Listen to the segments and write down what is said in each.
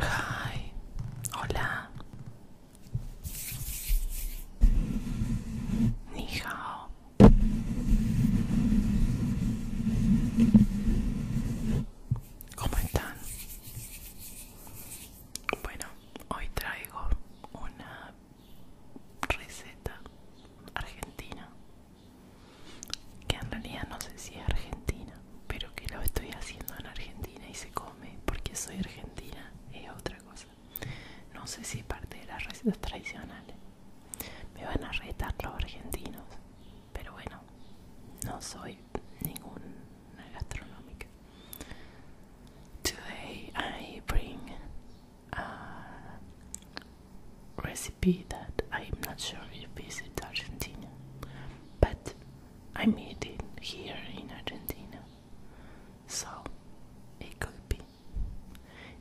Hi. Hola. ¿Cómo están? Bueno, hoy traigo una receta argentina que en realidad no sé si es argentina, pero que lo estoy haciendo en Argentina y se come porque soy argentina, es otra cosa. No sé si es parte de las recetas tradicionales. Me van a retar los argentinos, pero bueno, no soy ninguna gastronómica. Today I bring recipe that I'm not sure if is it Argentina, but I made it here in Argentina, so it could be.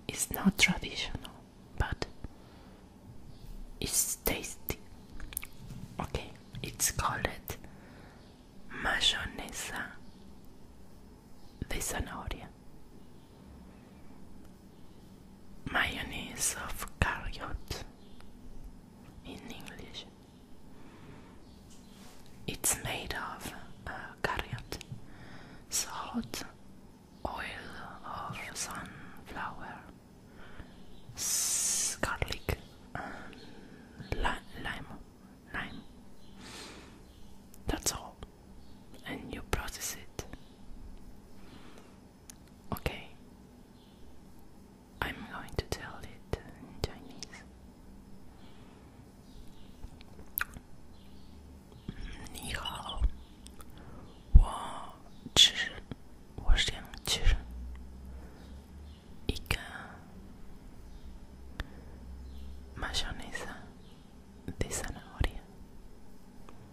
It's not traditional, but it's tasty. Okay, it's called it mayonesa de zanahoria. Mayonnaise of carrot in English. It's made of uh, salt, oil of sunflower, garlic, lime. That's all. And you process it. Okay. I'm going to tell it in Chinese. Ni hao. Wo zhi. Wo xiang zhi. Ika. de zanahoria.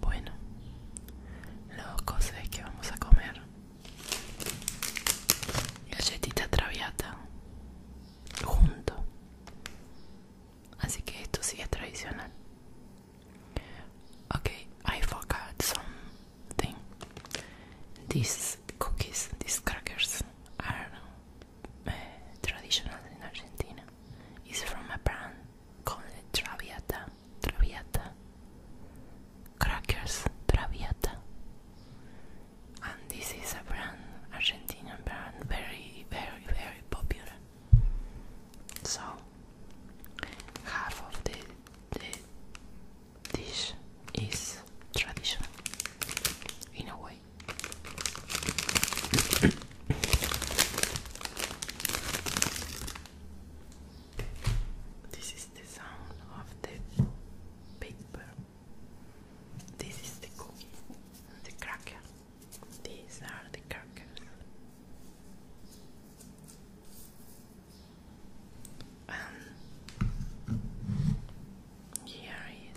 Bueno, lo cosa es que vamos a comer galletita traviata junto. Así que esto sí es tradicional. Okay, I forgot something. These cookies, these crackers are uh, traditional in Argentina. It's from a brand called Traviata. Traviata. Crackers Traviata. And this is a brand, Argentinian brand, very, very, very popular. So, half of the dish is traditional in a way. This is the sound of the paper. This is the cookie, the cracker. These are the crackers. And here is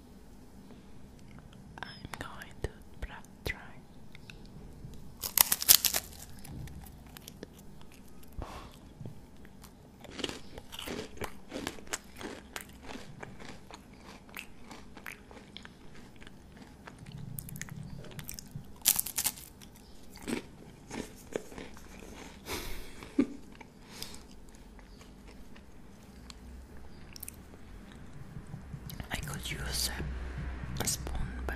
I'm going to try. I could use a spoon, but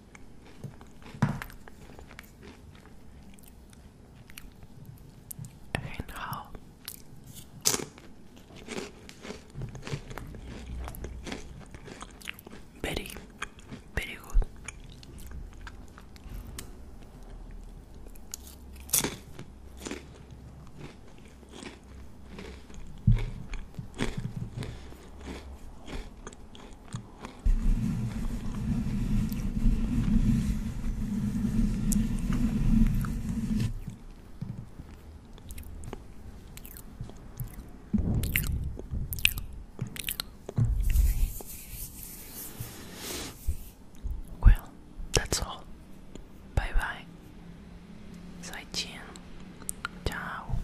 And how very, very good. Well, that's all. Bye bye. Zaijian. Ciao.